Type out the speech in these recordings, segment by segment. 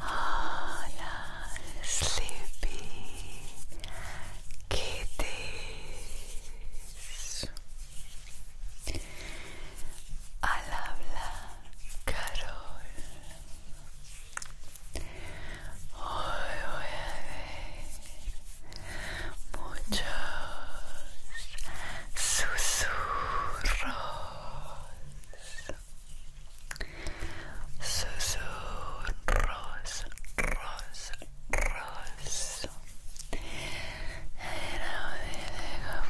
Hola, sleepy kitties. Al habla Carol. Hoy voy a ver muchos susurros susurros ros ros era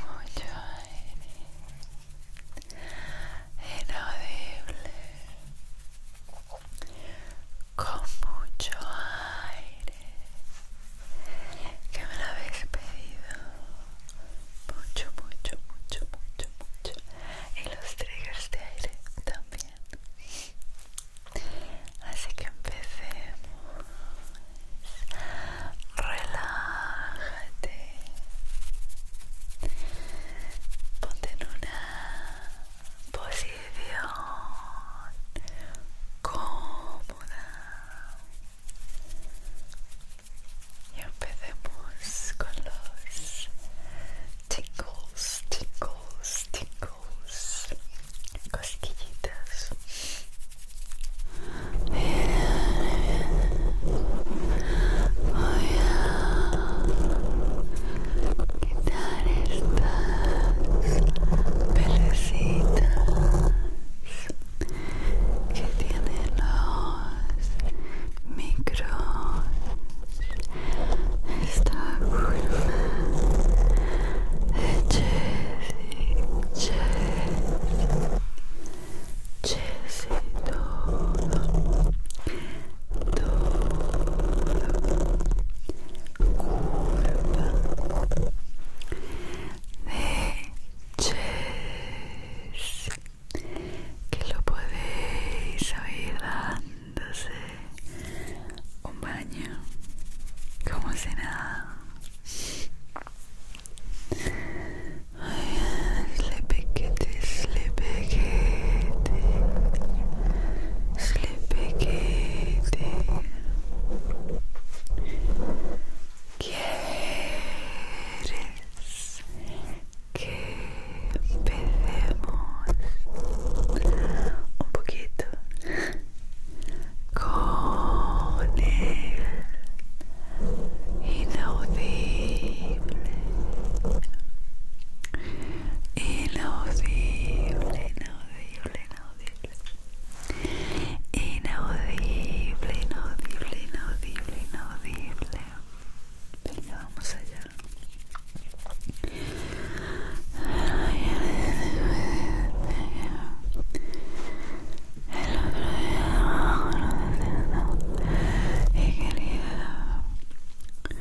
mucho inaudible con mucho aire que me lo habéis pedido mucho, mucho, mucho, mucho, mucho y los triggers de aire también así que empecemos relájate ponte en una posición cómoda y empecemos con los tingles, tingles, tingles, cosquillitas estas pelecitas que tienen los micros esta curva de Jessie Jessie y todo de Chess que lo podéis oír dándose un baño como si nada sleepy Repetite. ¿Quieres que empecemos un poquito con el inaudible? inaudible, inaudible, inaudible, inaudible, inaudible, inaudible, inaudible. Venga, vamos allá. El otro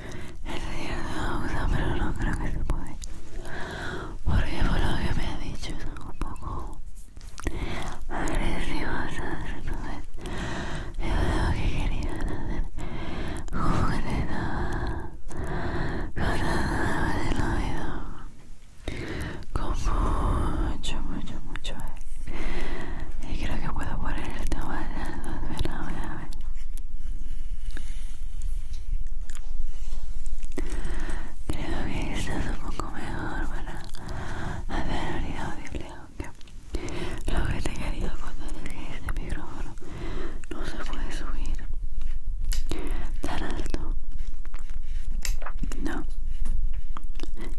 el cierto, pero no creo que se puede. Porque por lo que me ha dicho es un poco agresivos Entonces, yo creo que querían hacer jugar nada. te nada de la vida. Con mucho, mucho, mucho. Y creo que puedo poner el tema de las Creo que es un poco mejor para hacer audible, aunque lo que te quería contar es que este micrófono no se puede subir tan alto. No,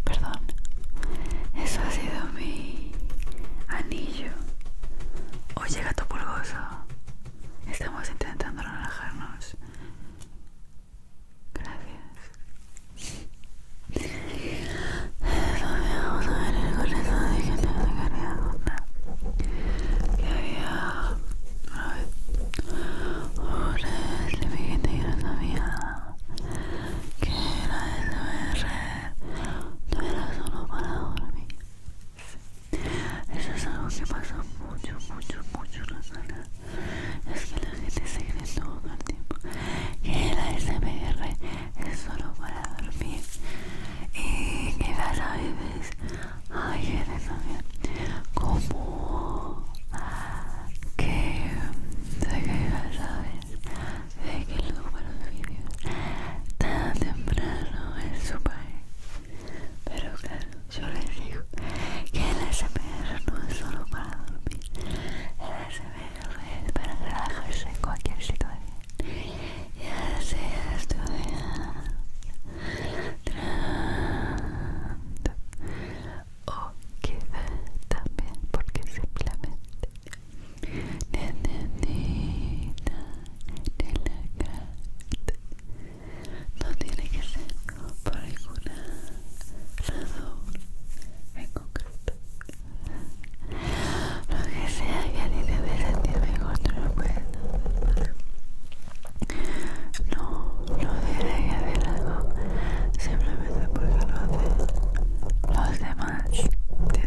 perdón, eso ha sido mi anillo. Oye, gato pulgoso, estamos intentando relajarnos. Gracias. Vamos a ver el corazón de que te sacaría una. Que había una vez un de mi gente que no sabía que era SMR. No era solo para dormir. Eso es algo que pasa mucho, mucho, mucho la zona. Es que la gente se cree todo el tiempo que la SMR es solo para dormir. Y que a veces hay gente también como que se ¿sabes? De que luego para vídeos tan temprano en su país. Pero claro, yo les digo que el SMR no es solo para dormir, el SMR es para relajarse en cualquier situación, y sea estudiando o también porque simplemente la relajarte. No tiene que ser por ninguna razón en concreto. Lo que sea que a ti te dé sentir mejor, no lo puedes hacer. No, no que hacer algo simplemente porque lo hacen los demás, ¿entiendes?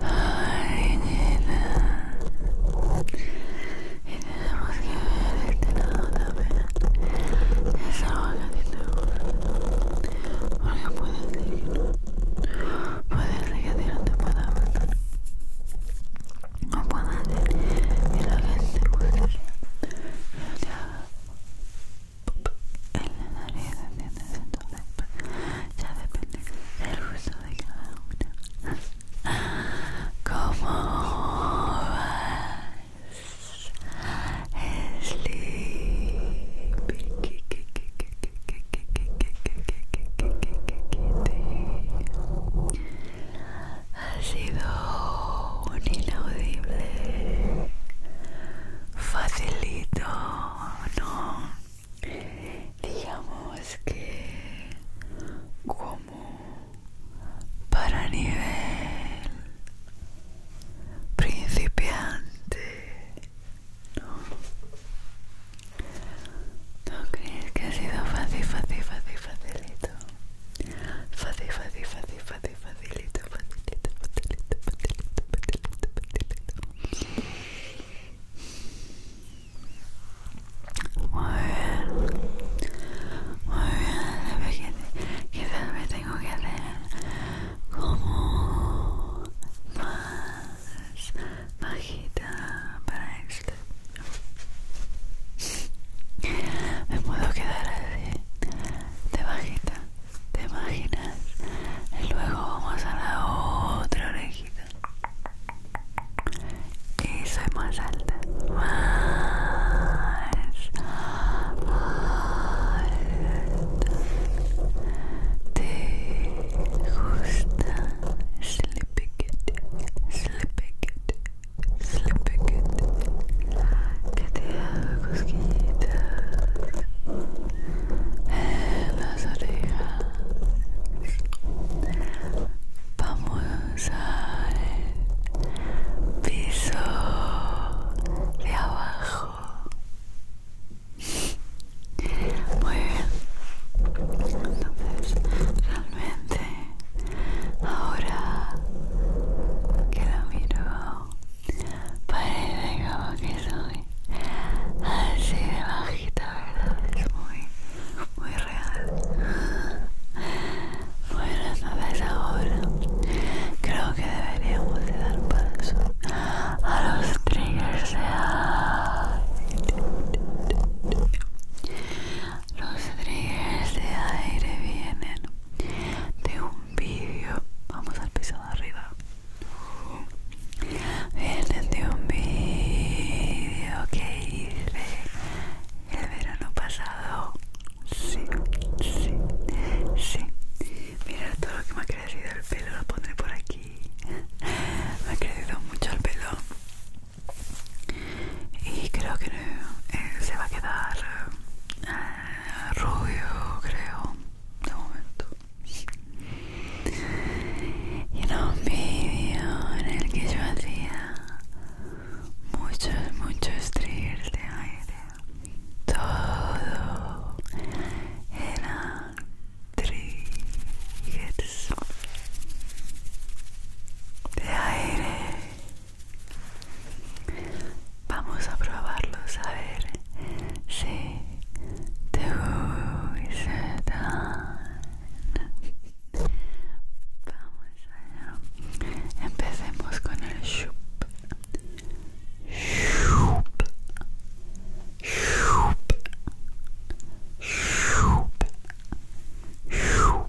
Ay, Y tenemos que ver este lado también. Esa boca que te gusta. Porque puede ser que no. Puede ser que no te pueda gustar. No puede ser que lo que te guste no te haga en la nariz ya depende del uso de cada una ¿Cómo vas? sido un inaudible facilito, ¿no? Digamos que como para nivel principiante, ¿no? ¿No crees que ha sido fácil, fácil, fácil, facilito? Fácil, fácil, fácil, fácil, Abi facilita, facilita, facilita, facilita, facilita, que, me tengo que hacer como más bajita para esto. Me puedo quedar así. de bajita, te imaginas. Y luego vamos a la otra orejita. Y soy más alta. Más, más ¿Te gusta? Sleepy kitty, sleepy kitty, Sleepycat que te haga cosquillitas en las orejas vamos al piso de abajo muy bien entonces realmente ahora que la miro parece como que soy así de bajita, ¿verdad? Es muy, muy real. Bueno, entonces ahora creo que deberíamos de dar paso a los triggers de aire. Los triggers de aire vienen de un vídeo vamos al piso de arriba de un vídeo que hice el verano pasado sí sí sí mira todo lo que me ha crecido el pelo lo pondré por aquí me ha crecido mucho el pelo y creo que eh, se va a quedar eh, rubio, creo, de momento. Y era un vídeo en el que yo hacía muchos, muchos triggers de aire. Todo era triggers de aire. Vamos a probarlo, a ver si te gustan. Vamos allá. Empecemos con el shup. Shup. Shup. Shup. Shup.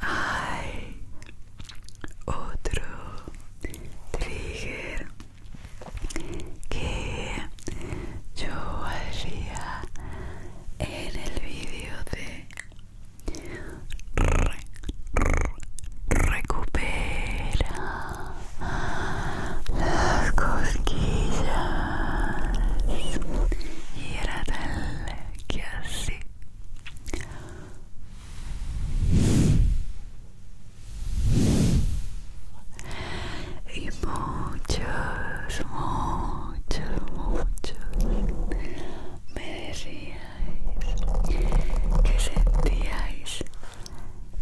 Hay otro trigger que yo haría en el vídeo de recupera las cosquillas y era tal que así y muchos, muchos, muchos me decíais que sentíais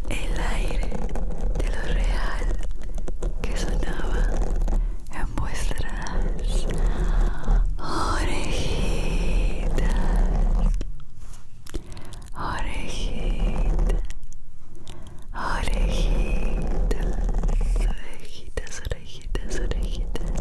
el aire de lo real que sonaba en vuestras orejitas orejitas orejitas orejitas orejitas orejitas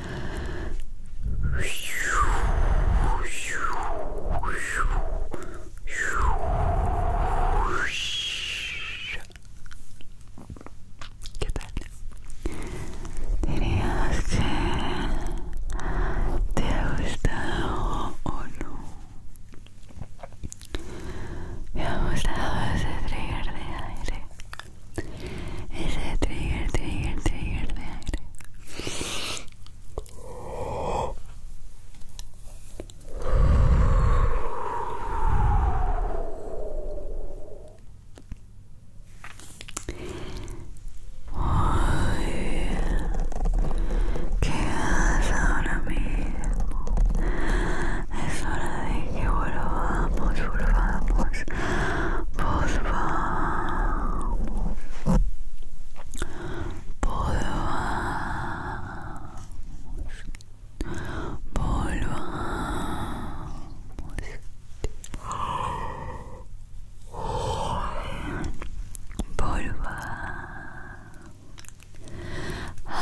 ¿Qué tal? ¿Dirías que te ha o no? Me ha gustado ese trigger de aire. Ese trigger, trigger, trigger de aire. ¿Qué haces ahora mismo? Es hora de que volvamos, volvamos vos vamos volvamos volvamos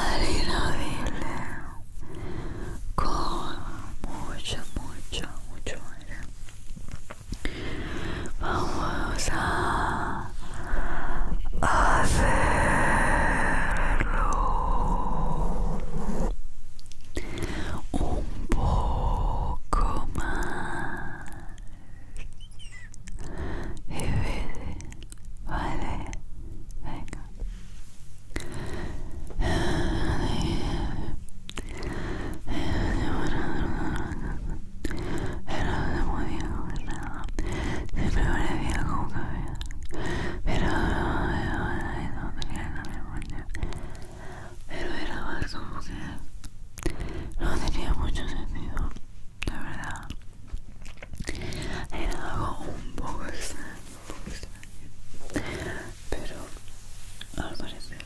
al con mucho mucho mucho Vamos a hacerlo un poco más veces, vale, venga. Pero se podía comer nada. Siempre parecía como caviar. Pero no tenía la memoria. Pero era más como que no tenía mucho sentido. La verdad. Era algo Un poco extraño. Pero al parecer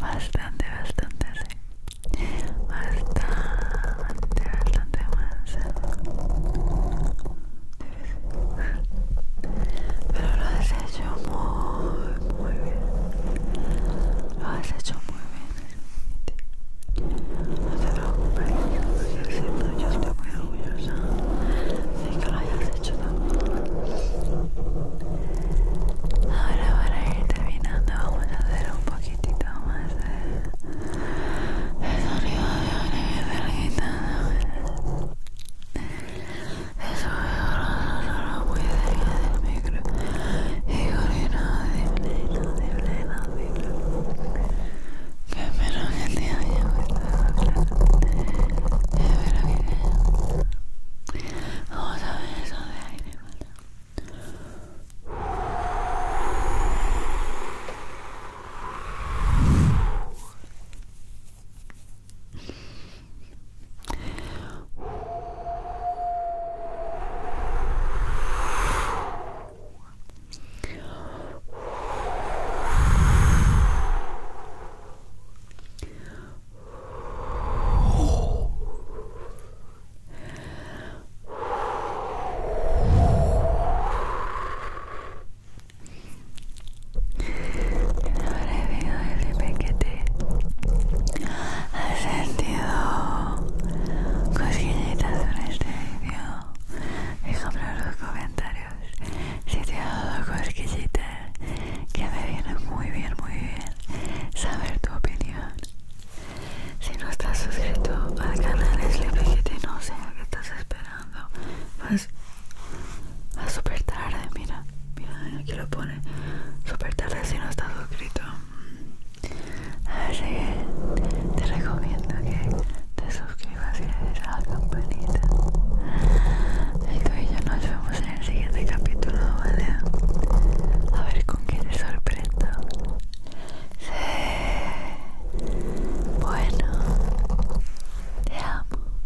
bastante, bastante, sí. Bastante, bastante más. ¿eh? Pero lo has hecho muy, muy bien. Lo has hecho muy bien. No te preocupes, yo, siento, yo estoy muy orgullosa de que lo hayas hecho ayuda. Ahora para ir terminando vamos a hacer un poquitito más de, de sonido de orejas larguitas. Eso es solo muy cerca del micro y gorrino de pleno, de pleno, de pleno. Que espero que te haya gustado, claro. Espero que te haya gustado. Vamos a ver eso de aire, Vamos Ahora he vivido el pequete has sentido cosquillitas en este vídeo. Déjame en los comentarios si te ha dado cosquillitas que me viene muy bien, muy bien saber tu opinión. Si no estás suscrito al canal te no sé que estás esperando. Pues a súper tarde, mira, mira, aquí lo pone. Súper tarde si no estás suscrito. Así que te recomiendo que te suscribas y le des a la campanita. Y tú y yo nos vemos el siguiente capítulo, ¿vale? A ver con qué te sorprendo. Sí. Bueno, te amo.